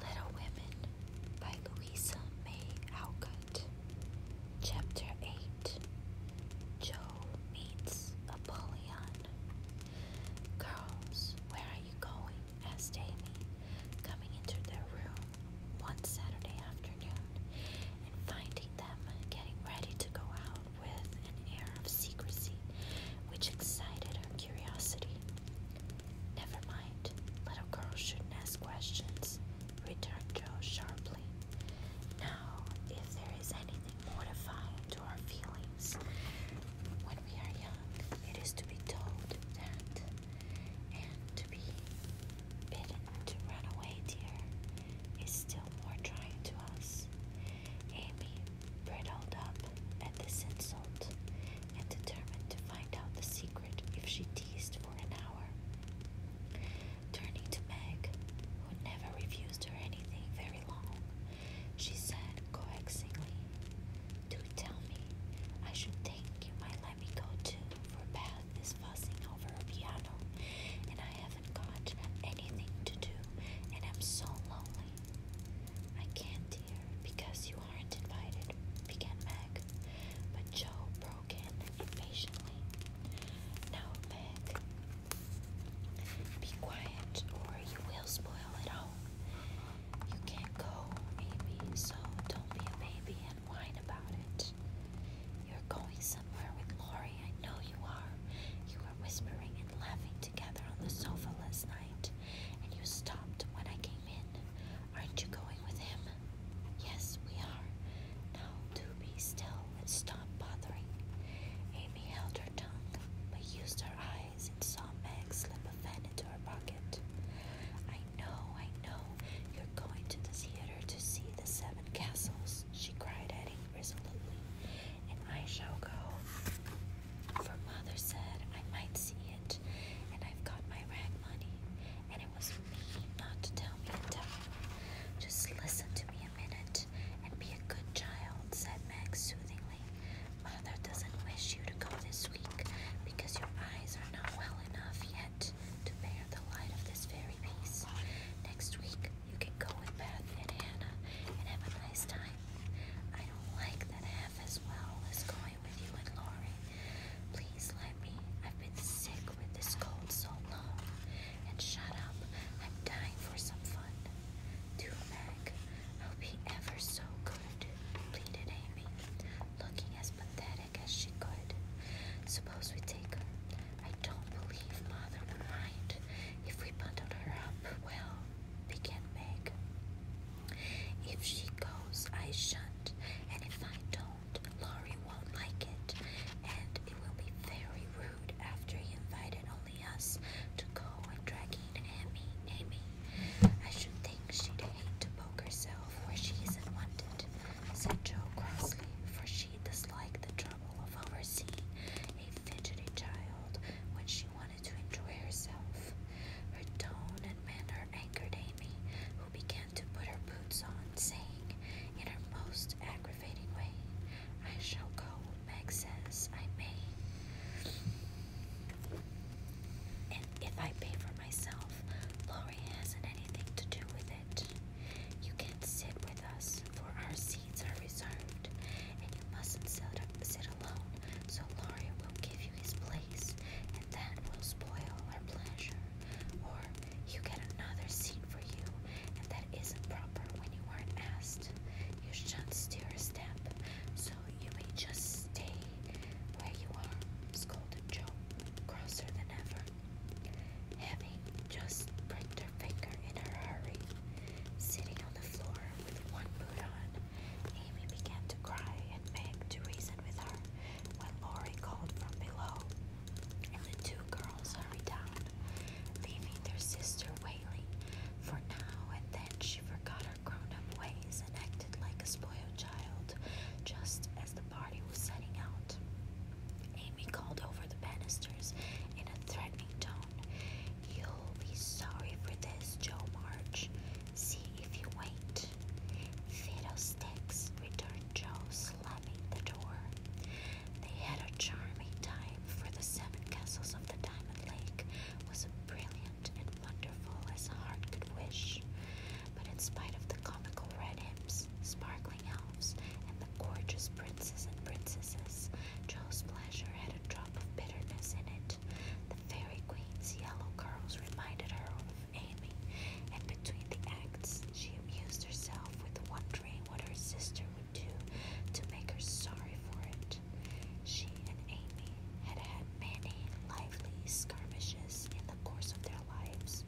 Little Women by Louisa May Alcott. Chapter 8 Jo Meets Apollyon. Girls, where are you going? asked Amy, coming into their room one Saturday afternoon and finding them getting ready to go out with an air of secrecy which excited her curiosity. Never mind, little girls shouldn't ask questions, returned Joe sharply. Now, if there is anything mortifying to our feelings when we are young, it is to be told that and to be bidden to run away, dear, is still more trying to us. Amy bridled up at this insult and determined to find out the secret if she teased for an hour. Turning to Meg, who never refused her anything very long, she said coaxingly, Do tell me, I should thank you, my my go-to for bath is fussing over a piano, and I haven't got anything to do, and I'm so lonely. I can't, dear, because you aren't invited, began Meg, but Joe broke in impatiently. Now, Meg, be quiet, or you will spoil it all. You can't go, Amy, so don't be a baby whine about it. You're going somewhere with Laurie, I know you are. You were whispering and laughing together on the sofa last night, and you stopped when I came in. Aren't you going with him? Yes, we are. Now do be still and stop bothering. Amy held her tongue, but used her eyes and saw Meg slip a fan into her pocket. I know, I know. You're going to the theater to see the seven castles, she cried at resolutely. And I shall go. For mother said I might see it, and I've got my rag money, and it was me not to tell me in time. Just listen to me a minute and be a good child, said Meg soothingly. Mother doesn't wish you to go this week because your eyes are not well enough yet to bear the light of this very piece. Next week, you can go with Beth and Hannah and have a nice time. I don't like that half as well as going with you and Lori. Please let me. I've been sick with this cold so long. And shut up. I'm dying for some fun. Do, Meg. I'll be ever so good, pleaded Amy looking as pathetic as she could. Suppose we take her. I don't believe Mother would mind if we bundled her up. Well, began Meg. If she goes, I shan't, and if I don't, Laurie won't like it, and it will be very rude after he invited only us to go and dragging Amy. Amy, I should think she'd to poke herself where she isn't wanted, said Joe crossly, for she disliked the trouble of overseeing a fidgety child when she wanted to enjoy herself. Her tone and manner angered Amy, who began to put her boots on, saying, in her most aggravating way, I shall go, Meg says, I may. And if I pay for for myself. Lori hasn't anything to do with it. You can't sit with us, for our seats are reserved, and you mustn't sit, sit alone, so Lori will give you his place, and that will spoil our pleasure. Or you get another seat for you, and that isn't proper when you weren't asked. You shouldn't steer a step, so you may just stay where you are, scolded Joe, crosser than ever. Heavy just pricked her finger in her hurry. Sitting on the floor with one boot on, Amy began to cry and begged to reason with her when Lori called from below. And the two girls hurried down, leaving their sister wailing, for now and then she forgot her grown up ways and acted like a spoiled child, just as the party was setting out. Amy called over the banisters in a threatening tone. You'll be sorry for this, Joe March. See if you wait. Fiddlesticks, returned Joe, slamming the door. They had a charming time, for the seven castles of the Diamond Lake was brilliant and wonderful as a heart could wish but in spite of the comical red imps, sparkling elves, and the gorgeous princes and princesses, Joe's pleasure had a drop of bitterness in it. The fairy queen's yellow curls reminded her of Amy, and between the acts, she amused herself with wondering what her sister would do to make her sorry for it. She and Amy had had many lively skirmishes in the the course of their lives,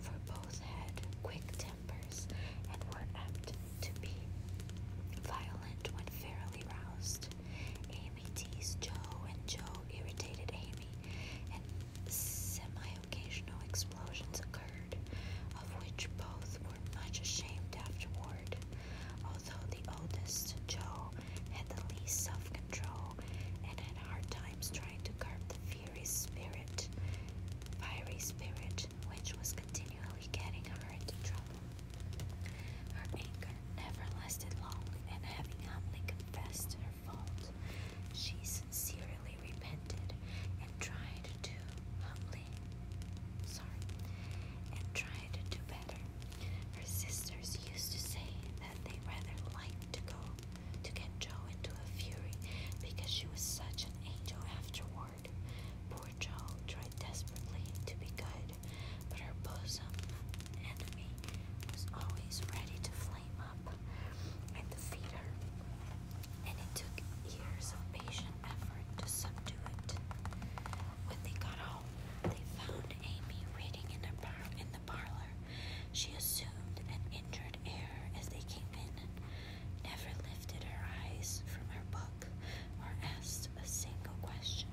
for both had quick tempers and were apt to be violent when fairly roused. Amy teased Joe, and Joe irritated Amy, and semi occasional explosions occurred, of which both were much ashamed afterward. Although the oldest, Joe, had the least self control and had hard times trying to curb the fiery spirit, fiery spirit, which was continually getting her into trouble. Her anger never lasted long, and having humbly confessed her fault, she sincerely repented and tried to humbly, sorry, and tried to do better. Her sisters used to say that they rather liked to go to get Joe into a fury because she was such an angel afterward. Poor Joe tried desperately to be good, but her bosom enemy was always ready to flame up and defeat her, and it took years of patient effort to subdue it. When they got home, they found Amy reading in, her par in the parlor she assumed an injured air as they came in, never lifted her eyes from her book or asked a single question.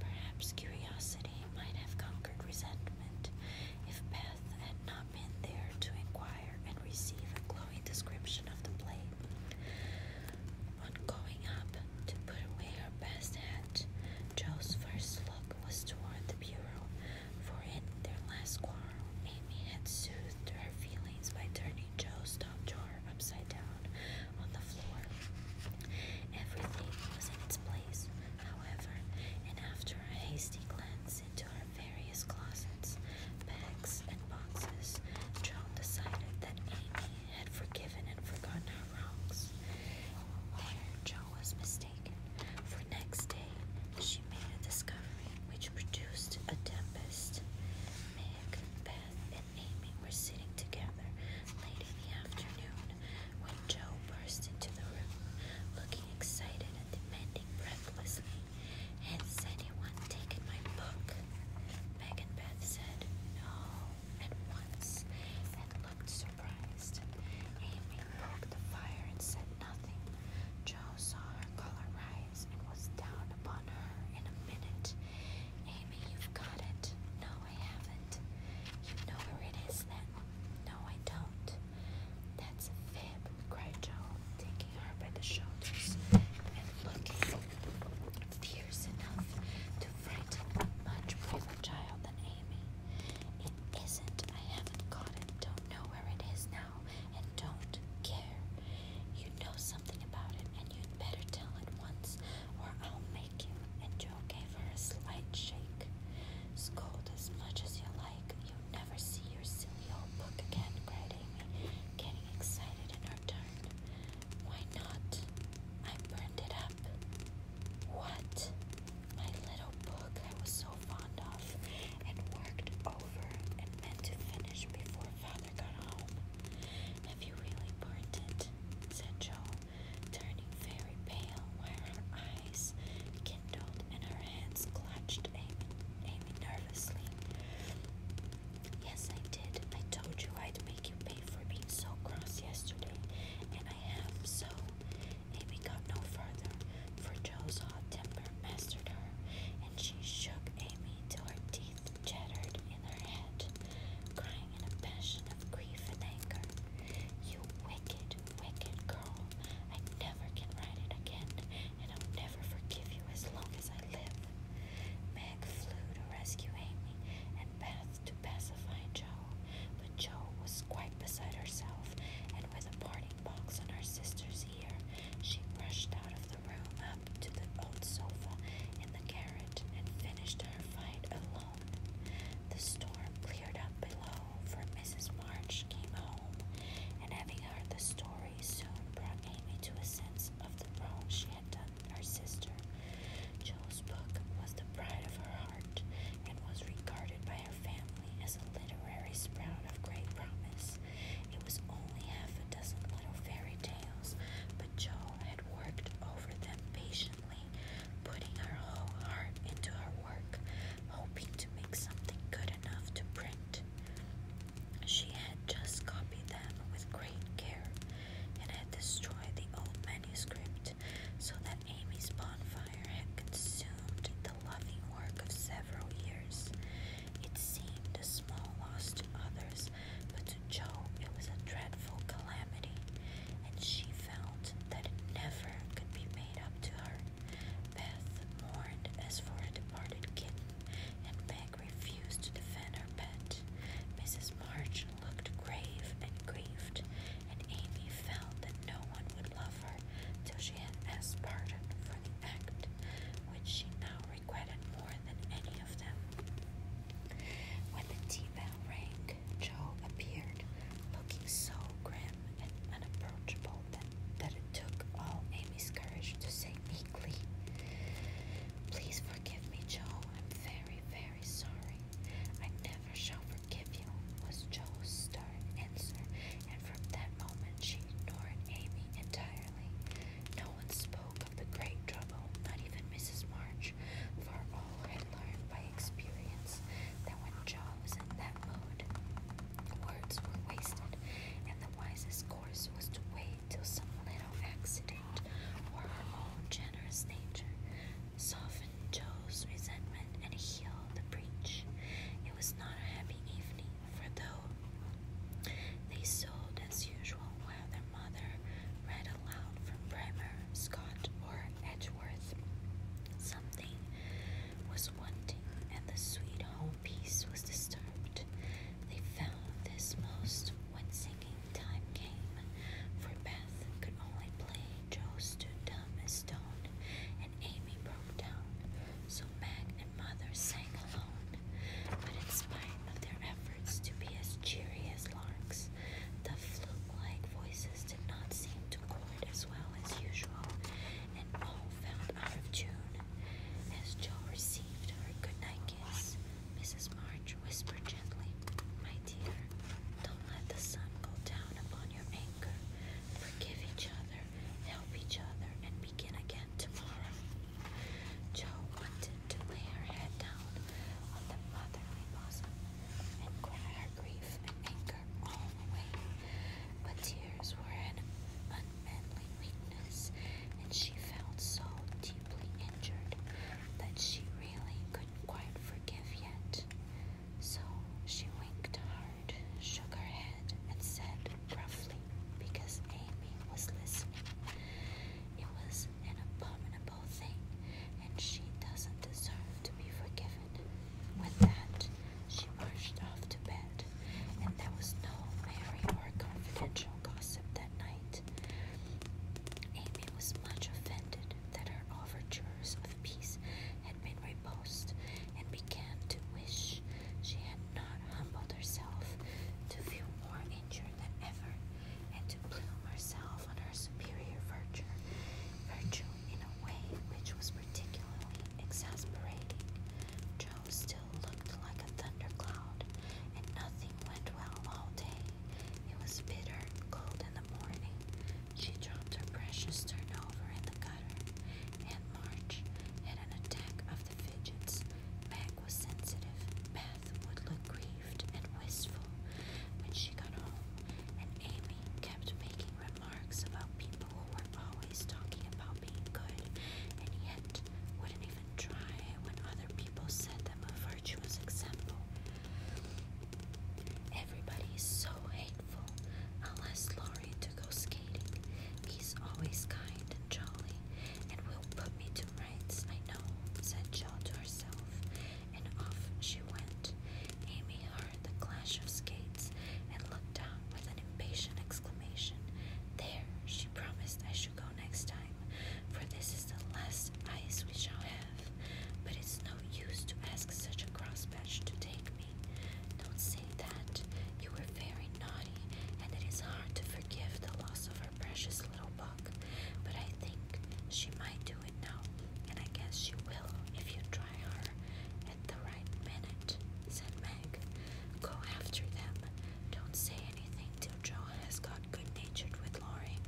Perhaps curiosity might have conquered resentment if Beth had not been there to inquire and receive a glowing description of the play. On going up to put away her best hat, Joe's first look was toward the bureau for in their last quarrel, Amy had soothed her feelings by turning Joe's top drawer upside down on the floor. Everything was in its place, however, and after a hasty glance into her various closets, bags, and boxes, Joan decided that Amy had forgiven and forgotten her wrongs. There, Joe was mistaken for next day she made a discovery which produced a tempest. Meg, Beth, and Amy were sitting together late in the afternoon when Joe burst into the room, looking excited and demanding breathlessly, Has anyone taken my book? Meg and Beth said no at once and looked surprised. Amy poked the fire and said nothing. Joe saw her color rise and was down upon her in a minute. Amy, you've got it. No, I haven't. You know where it is then. No, I don't. That's a fib, cried Joe, taking her by the shoulders and looking fierce enough to frighten a much braver child than Amy. It isn't. I haven't got it. Don't know where it is now and don't care. You know something about it and you better tell it once or I'll make you. And Joe gave her a slight shake. Scold as much as you like. You'll never see your silly old book again, cried Amy, getting excited in her turn. Why not? I burned it up. What? My little book I was so fond of and worked over and meant to finish before Father got home. Have you really burnt it? said Jo, turning very pale while her eyes kindled and her hands clutched Amy, Amy nervously. Yes, I did. I told you I'd make you pay for being so cross yesterday, I am, so Amy got no further, for Joe's hot temper mastered her, and she shook Amy till her teeth chattered in her head, crying in a passion of grief and anger. You wicked, wicked girl. I never can write it again, and I'll never forgive you as long as I live. Meg flew to rescue Amy and Beth to pacify Joe. Joe, but Joe was quite beside herself, and with a parting box on her sister's ear, she rushed out of the room up to the old sofa in the garret and finished her fight alone. The storm cleared up below, for Mrs. March came home, and having heard the story, soon brought Amy to a sense of the wrong she had done her sister. Joe's book was the pride of her heart and was regarded by her family as a literary sprout of great promise. It was only half a dozen little fairy tales, but Jo had worked over them patiently, putting her whole heart into her work, hoping to make something good enough to print. She had just copied them with great care and had destroyed the old manuscript so that Amy's bonfire had consumed the loving work of several years. It seemed a small loss to others, but to Jo it was a dreadful calamity, and she felt that it never could be made up to her. Beth mourned as for a departed kitten, and Peg refused to defend her pet. Mrs. March looked grave and grieved, and Amy felt that no one would would love her till she had asked pardon for the act which she now regretted more than any of them. When the tea bell rang, Joe appeared, looking so grim and unapproachable that, that it took all Amy's courage to say meekly, Please forgive me, Joe. I'm very, very sorry. I never never shall forgive you, was Joe's stern answer, and from that moment she ignored Amy entirely. No one spoke of the great trouble, not even Mrs. March, for all had learned by experience that when Joe was in that mood, words were wasted, and the wisest course was to wait till some little accident or her own generous nature Soften Joe's resentment and heal the breach. It was not a happy evening, for though they sewed as usual while their mother read aloud from Bremer, Scott, or Edgeworth, something was wanting, and the sweet home peace was disturbed. They found this most when singing time came, for bad could only play, Joe stood dumb as stone, and Amy broke down. So Mag and Mother sang alone. But in spite of their efforts to be as cheery as larks, the flute-like voices did not seem to chord as well as usual, and all found out of tune. As Joe received her goodnight kiss, Mrs. March whispered gently, My dear, don't do let the sun go down upon your anger. Forgive each other, help each other, and begin again tomorrow. Jo wanted to lay her head down on the motherly bosom and cry her grief and anger all away. But tears were an unmanly weakness, and she felt so deeply injured that she really couldn't quite forgive yet. So she winked hard, shook her head, and said gruffly, because Amy was listening, it was an abominable thing, and she doesn't deserve to be forgiven. With that, she marched off to bed, and there was no merry or confidential gossip that night. Amy was much offended that her overtures of peace had at Midway and began to wish she had not humbled herself to feel more injured than ever and to plume herself on her superior virtue, virtue in a way which was particularly exasperating. Joe still looked like a thundercloud, and nothing went well all day. It was bitter, cold, and morning, she dropped her precious turnover in the gutter. Aunt March had an attack of the fidgets. Meg was sensitive. Beth would look grieved and wistful when she got home, and Amy kept making remarks about people who were always talking about being good and yet wouldn't even try when other people set them a virtuous example. Everybody's so hateful. I'll ask Laurie to go skating. He's always kind and jolly and will put me to rights, I know, said Jill to herself. And off she went. Amy heard the clash of skates and looked down with an impatient exclamation. There, she promised I should go next time, for this is the last ice we shall have. But it's no use to ask such a crosspatch to take me. Don't say that. You were very naughty, and it is hard to forgive the loss of our precious little book. But I think she might do it now, and I guess she will if you try her at the right minute, said Meg. Go after them. Don't say anything till Joe has got good natured with Laurie.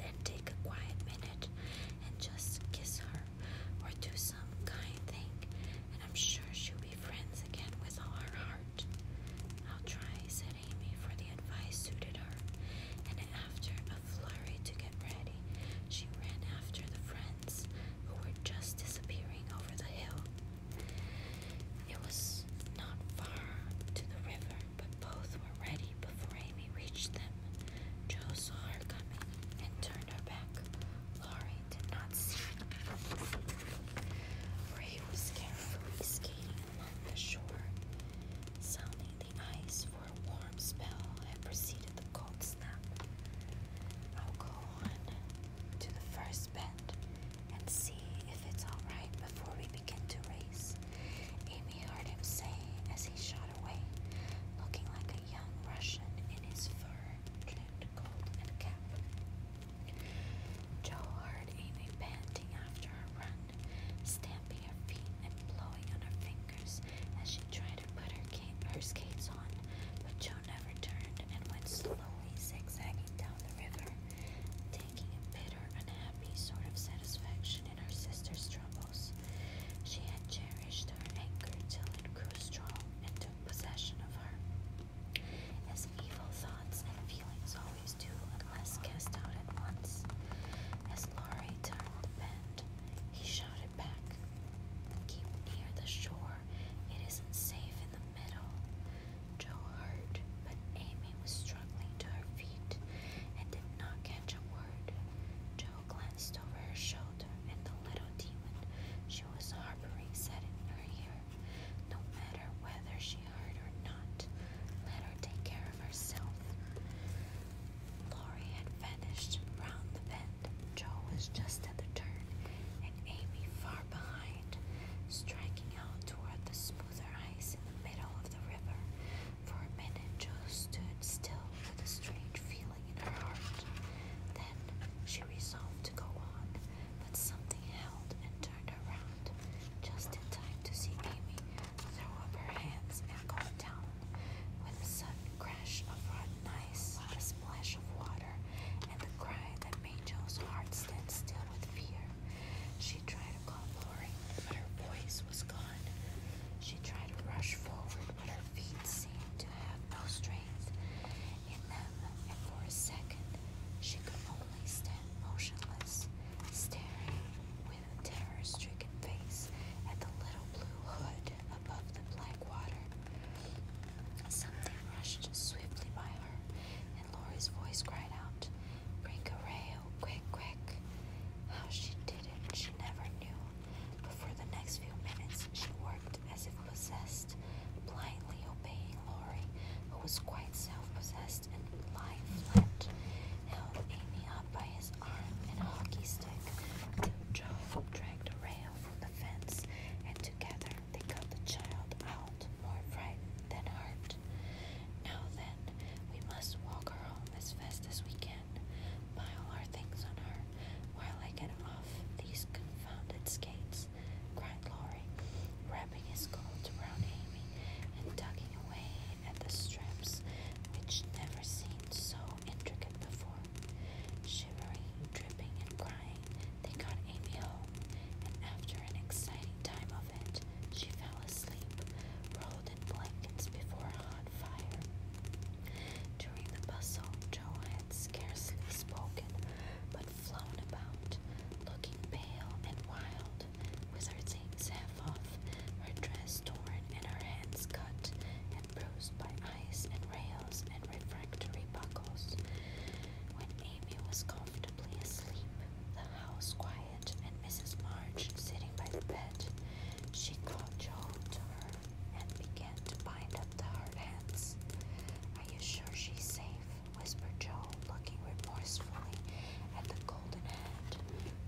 Then take a quiet minute and just kiss her or do some kind thing, and I'm sure she'll be friends again with all her heart. I'll try, said Amy, for the advice suited her, and after a flurry to get ready, she ran after the friends who were just disappearing over the hill. It was not far to the river, but both were ready before Amy reached them. Joe saw her coming and turned her back. Laurie did not see Ray was carefully skating along the shore, sounding the ice for a warm spell had preceded the cold snap. I'll go on to the first bend and see if it's alright before we begin to race, Amy heard him say as he showed away, looking like a young Russian in his fur-trimmed coat and cap. Joe heard Amy panting after her run, stamping her feet and blowing on her fingers as she tried to put her skates on, but Joe never turned and went slowly zigzagging down the river, taking a bitter, unhappy sort of satisfaction in her sister's troubles. She had cherished her anger till it grew strong and took possession of her. As evil thoughts and feelings always do, unless cast out at once. As Laurie turned the bend, he shouted back, Keep near the shore, it isn't safe in the middle. Joe heard, but Amy was struggling to her feet and did not catch a word. Joe Joe glanced over her shoulder and the little demon she was harboring said in her ear, No matter whether she heard or not, let her take care of herself. Lori had vanished round the bend. Joe was just at the turn, and Amy far behind, striking out toward the smoother ice in the middle of the river. For a minute, Jo stood still with a strange feeling in her heart. Then she resolved to go on, but something held and turned around just in time to see Amy throw up her hands and go down with a sudden crash of rotten ice, a splash of water, and the cry that made Joe's heart stand still with fear. She tried to call Lori, but her voice was gone. She tried to rush forward her feet seemed to have no strength in them, and for a second she could only stand motionless, staring with a terror stricken face at the little blue hood above the black water. Something rushed swiftly by her, and Laurie's voice cried out, Bring quick, quick. How she did it, she never knew, but for the next few minutes, she worked as if possessed, blindly obeying Laurie, who was quite self-possessed and lying flat, held Amy up by his arm and hockey stick till Joe dragged a rail from the fence, and together they got the child out, more frightened than hurt. Now then, we must walk her home as fast as we can again, pile our things on her while I get off these confounded skates, cried Laurie, wrapping his coat around Amy and tugging away at the straps which never seemed so intricate before. Shivering, dripping, and crying, they got Amy home, and after an exciting time of it, she fell asleep, rolled in blankets before on fire. During the bustle, Joe had scarcely spoken, but flown about, looking pale and wild, with her things half off, her dress torn, and her hands cut and bruised by ice and rails and refractory buckles. When Amy was comfortably asleep, the house quiet, and Mrs. March sitting by the bed, she called Joe to her and began to bind up the hard hands. Are you sure she's safe? whispered Joe, looking remorsefully at the golden hand,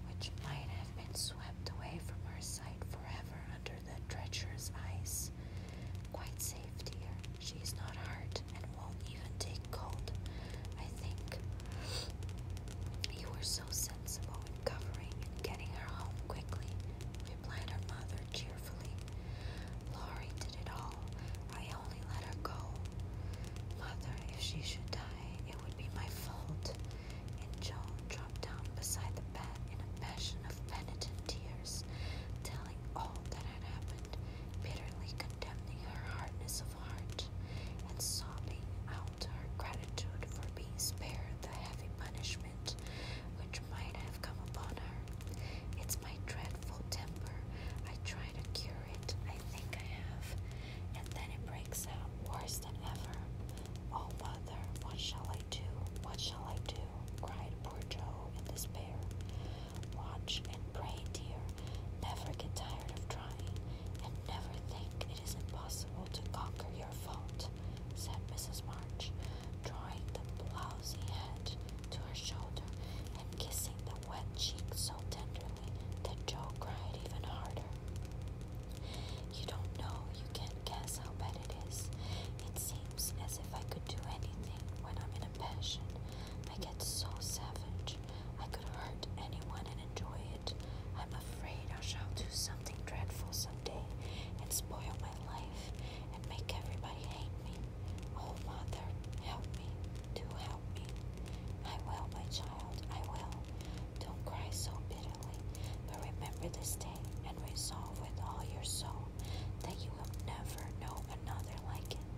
which might have been swept away from her sight forever under the treacherous ice. Quite safe, dear. She's not hurt and won't even take cold. I think you were so sensible in and getting her home quickly, replied her mother cheerfully. Laurie did it all. I only let her go. Mother, if she should die, it would be my fault. And Joan dropped down beside the bed in a passion of penitent tears, telling all that had happened, bitterly condemning her hardness of heart, and sobbing out her gratitude for being spared the heavy punishment which might have come upon her. It's my dreadful temper. I try to cure it. I think I have. And then it breaks out worse than ever. Oh, mother, what shall I do? What shall I do? cried poor Joe in despair. Watch and pray, dear. Never get tired of trying, and never think it is impossible to conquer your fault, said Mrs. March, drawing the blousy head to her shoulder and kissing the wet cheek so tenderly that Joe cried even harder. You don't know, you can't guess how bad it is. It seems as if I could do anything when I'm in a passion. I get so savage. I could hurt anyone and enjoy it. I'm afraid I shall do something dreadful someday and spoil my life and make everybody hate me. Oh, Mother, help me. Do help me. I will, my child, I will. Don't cry so bitterly, but remember this day and resolve with all your soul that you will never know another like it.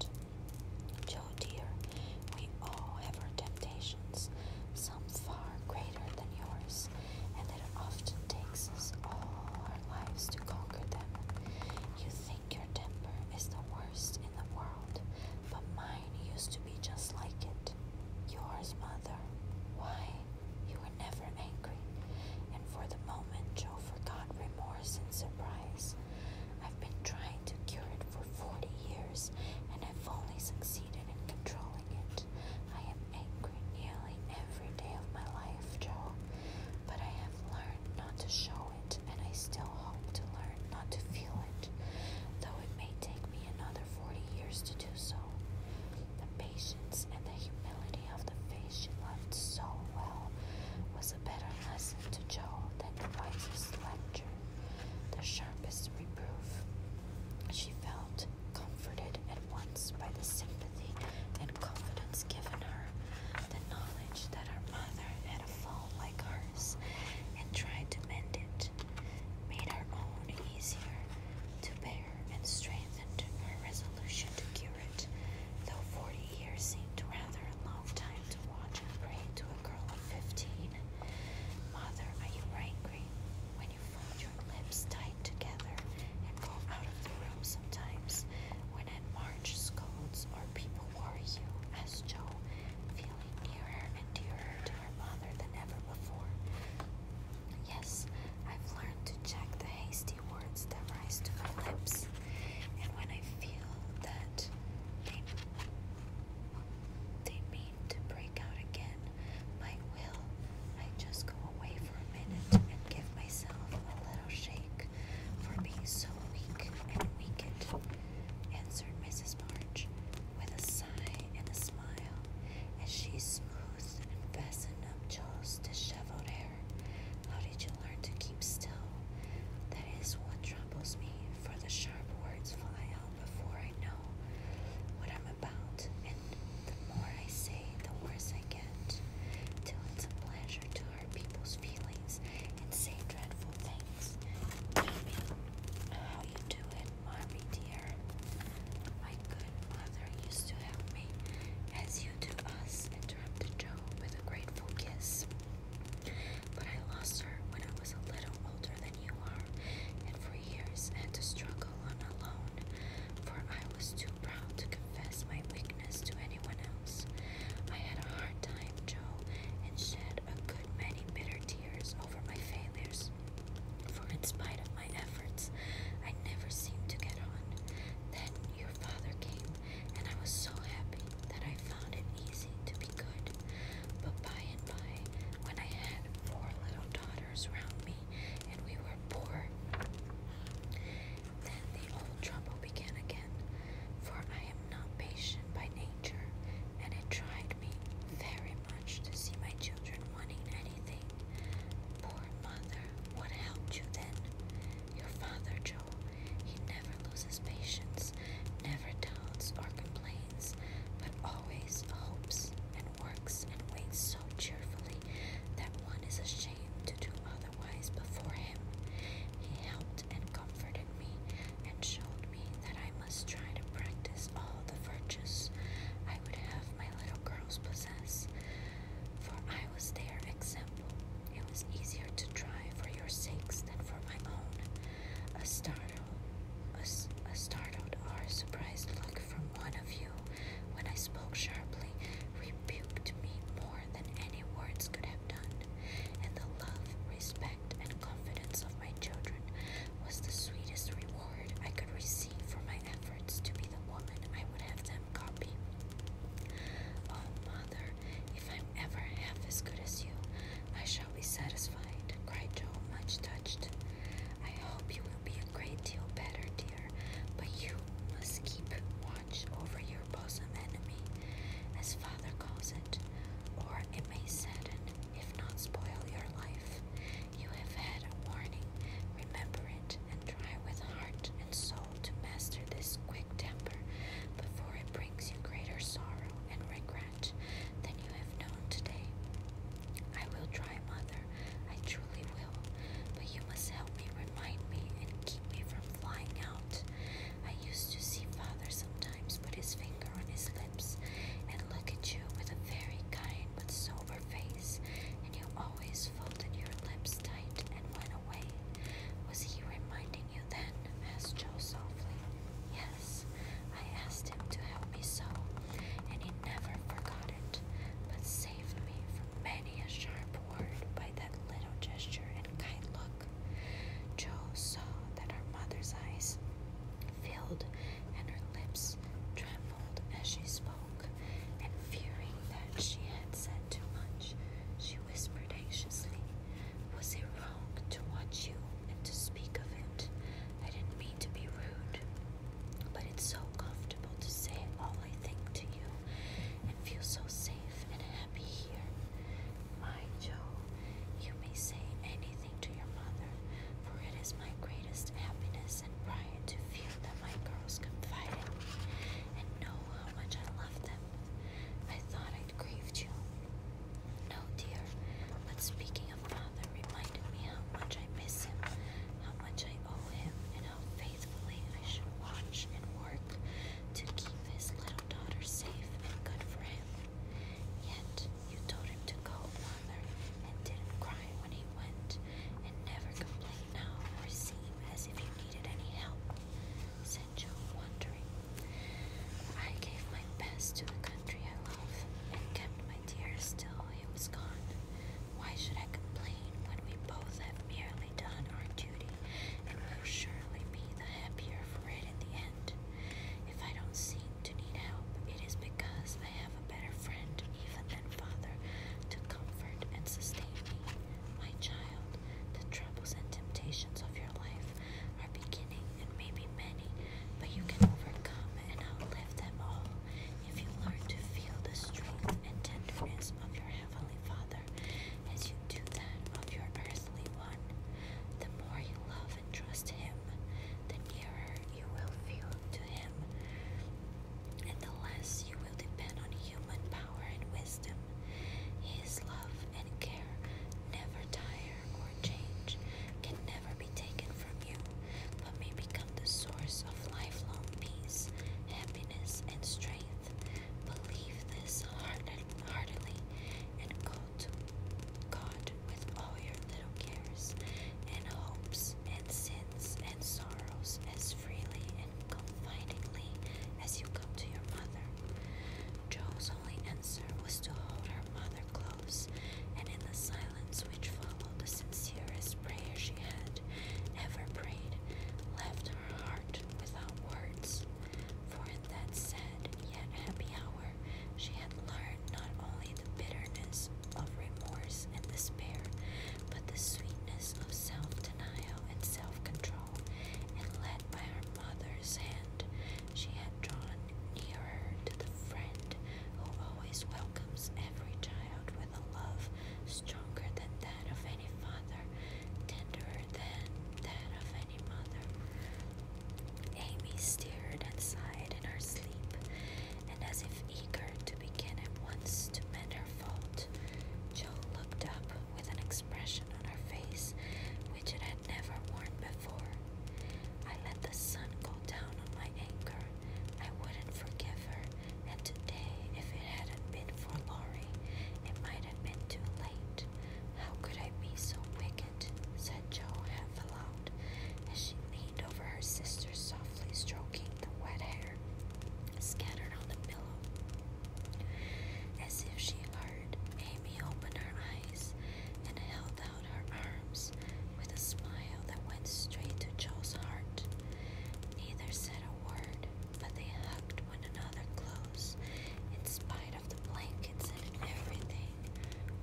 Joe, dear, we all have our temptations. Some far greater than yours, and that it often takes us all our lives to conquer them. You think your temper is the worst in the world, but mine used to be just like it. Yours, mother. Why? You were never angry. And for the moment, Joe forgot remorse and surprise. I've been trying to cure it for 40 years, and I've only succeeded in controlling. I am angry nearly every day of my life, Joe, but I have learned not to show it, and I still hope to learn not to feel it, though it may take me another 40 years to do so. The patience and the humility of the face she loved so well was a better lesson to Joe than the wisest lecture, the sharpest reproof. She felt comforted at once by the sympathy and confidence given her, the knowledge that her mother had a fall like hers and tried to mend it made her own easier to bear and strengthened her resolution to cure it, though forty years seemed rather a long time to watch and pray to a girl of fifteen. Mother, are you angry when you found lips tight together and go out of the room sometimes when at March scolds or people worry you, as Jo, feeling nearer and dearer to her mother than ever before. Yes, I've learned to check the hasty words that rise to my lips, and when I feel that they, they mean to break out again. My will. I just go away for a minute and give myself a little shake for being so weak and weakened, answered Mrs. March with a sigh and a smile as she smoothed and fastened up Joel's disheveled hair. How did you learn to keep still? That is what troubles me, for the sharp words fly out before I know what I'm about, the more I say, the worse I get, till it's a pleasure to hurt people's feelings and say dreadful things. Amy, how you do it, Marmy dear? My good mother used to help me, as you do us, interrupted Joe with a grateful kiss. But I lost her when I was a little older than you are, and for years had to struggle on alone for I was too proud to confess my weakness to anyone else. I had a hard time, Joe, and shed a good many bitter tears over my failures, for in spite of my efforts, I never seemed to get on. Then your father came, and I was so happy that I found it easy to be good. But by and by, when I had four little daughters, others round me, and we were poor. Then the old trouble began again, for I am not patient by nature, and it tried me very much to see my children wanting anything. Poor mother, what helped you then? Your father, Joe, he never loses patience, never doubts or complains, but always hopes and works and waits so cheerfully that one is ashamed to do otherwise before him. He helped and comforted me and showed me that I must try to practice all the virtues I would have my little girls possess, for I was their example. It was easier to try for your sakes than for my own. A startle, a, a startled or surprised look from one of you when I spoke sharply, rebuked me more than any words could have done, and the love, respect, and confidence of my children was the sweetest reward I could receive for my efforts to be the woman I would have them copy. Oh, mother, if I'm ever half as good as you, I shall be satisfied, cried Joe, much touched. I hope you will be a great deal better, dear, but you must keep watch over your bosom enemy, as father calls it, or it may sadden, if not spoil, your life. You have had a warning. Remember it, and try with heart and soul to master this quick temper before it brings you greater sorrow and regret than you have known today. I will try, mother. I truly will. But you must help me, remind me, and keep me from flying out. I used to see father sometimes put his finger on his lips and look at you with a very kind but sober face, and you always folded your lips tight and went away. Was he reminding you then? asked Joe softly. Yes, I asked him to help me so, and he never forgot it but saved me from many a sharp word by that little gesture and kind look. Joe saw that her mother's eyes filled and her lips trembled as she spoke, and fearing that she had said too much, she whispered anxiously, Was it wrong to watch you and to speak of it? I didn't mean to be rude. But it's so comfortable to say all I think to you and feel so safe and happy here. My Joe, you may say anything to your mother, for it is my greatest happiness and pride to feel that my girls confide in me and know how much I love them. I thought I'd grieved you. No, dear, but speaking and Father reminded me how much I miss him, how much I owe him, and how faithfully I should watch and work to keep his little daughter safe and good for him. Yet you told him to go, Father, and didn't cry when he went, and never complain now or seem as if you needed any help, said Joe, wondering. I gave my best to the country I love and kept my tears till he was gone, why should I complain when we both have merely done our duty and will surely be the happier for it in the end? If I don't seem to need help, it is because I have a better friend even than father to comfort and sustain me. My child, the troubles and temptations of your life are beginning and may be many, but you can overcome and outlive them all if you learn to feel the strength and tenderness of your Heavenly Father as you do that of your earthly one, the more you love and trust Him, the nearer you will feel to Him, and the less you will depend on human power and wisdom. His love and care never tire or change, can never be taken from you, but may become the source of lifelong peace, happiness, and strength. Believe this heartily and go to God with all your little cares and hopes and sins and sorrows as freely and confidingly as you come to your mother. Joe's only answer was to hold her mother close, and in the silence silence which followed the sincerest prayer she had ever prayed left her heart without words. For in that sad yet happy hour, she had learned not only the bitterness of remorse and despair, but the sweetness of self denial and self control. And led by her mother's hand, she had drawn nearer to the friend who always welcomes every child with a love stronger than that of any father, tenderer than that of any mother. Amy stirred and sighed in her sleep, and as if eager to begin at once to mend her fault, Joe looked up with an expression on her face which it had never worn before. I let the sun go down on my anger I wouldn't forgive her, and today, if it hadn't been for Laurie, it might have been too late. How could I be so wicked? said Jo half aloud, as she leaned over her sister, softly stroking the wet hair scattered on the pillow. As if she heard, Amy opened her eyes and held out her arms with a smile that went straight to Joe's heart. Neither said a word, but they hugged one another close in spite of the blankets and everything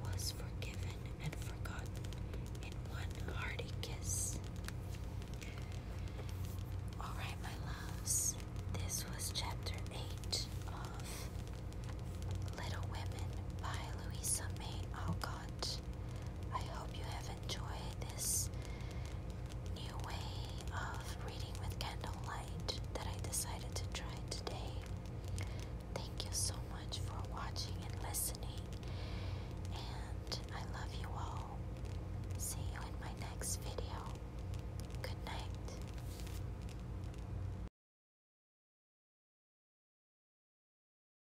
was forgiven and forgotten in one hearty kiss. Alright, my loves, this was chapter 8 of Little Women by Louisa May Alcott. I hope you have enjoy this new way of reading with candlelight that I decided to try today. Thank you so much for watching and listening, and I love you all. See you in my next video. Good night.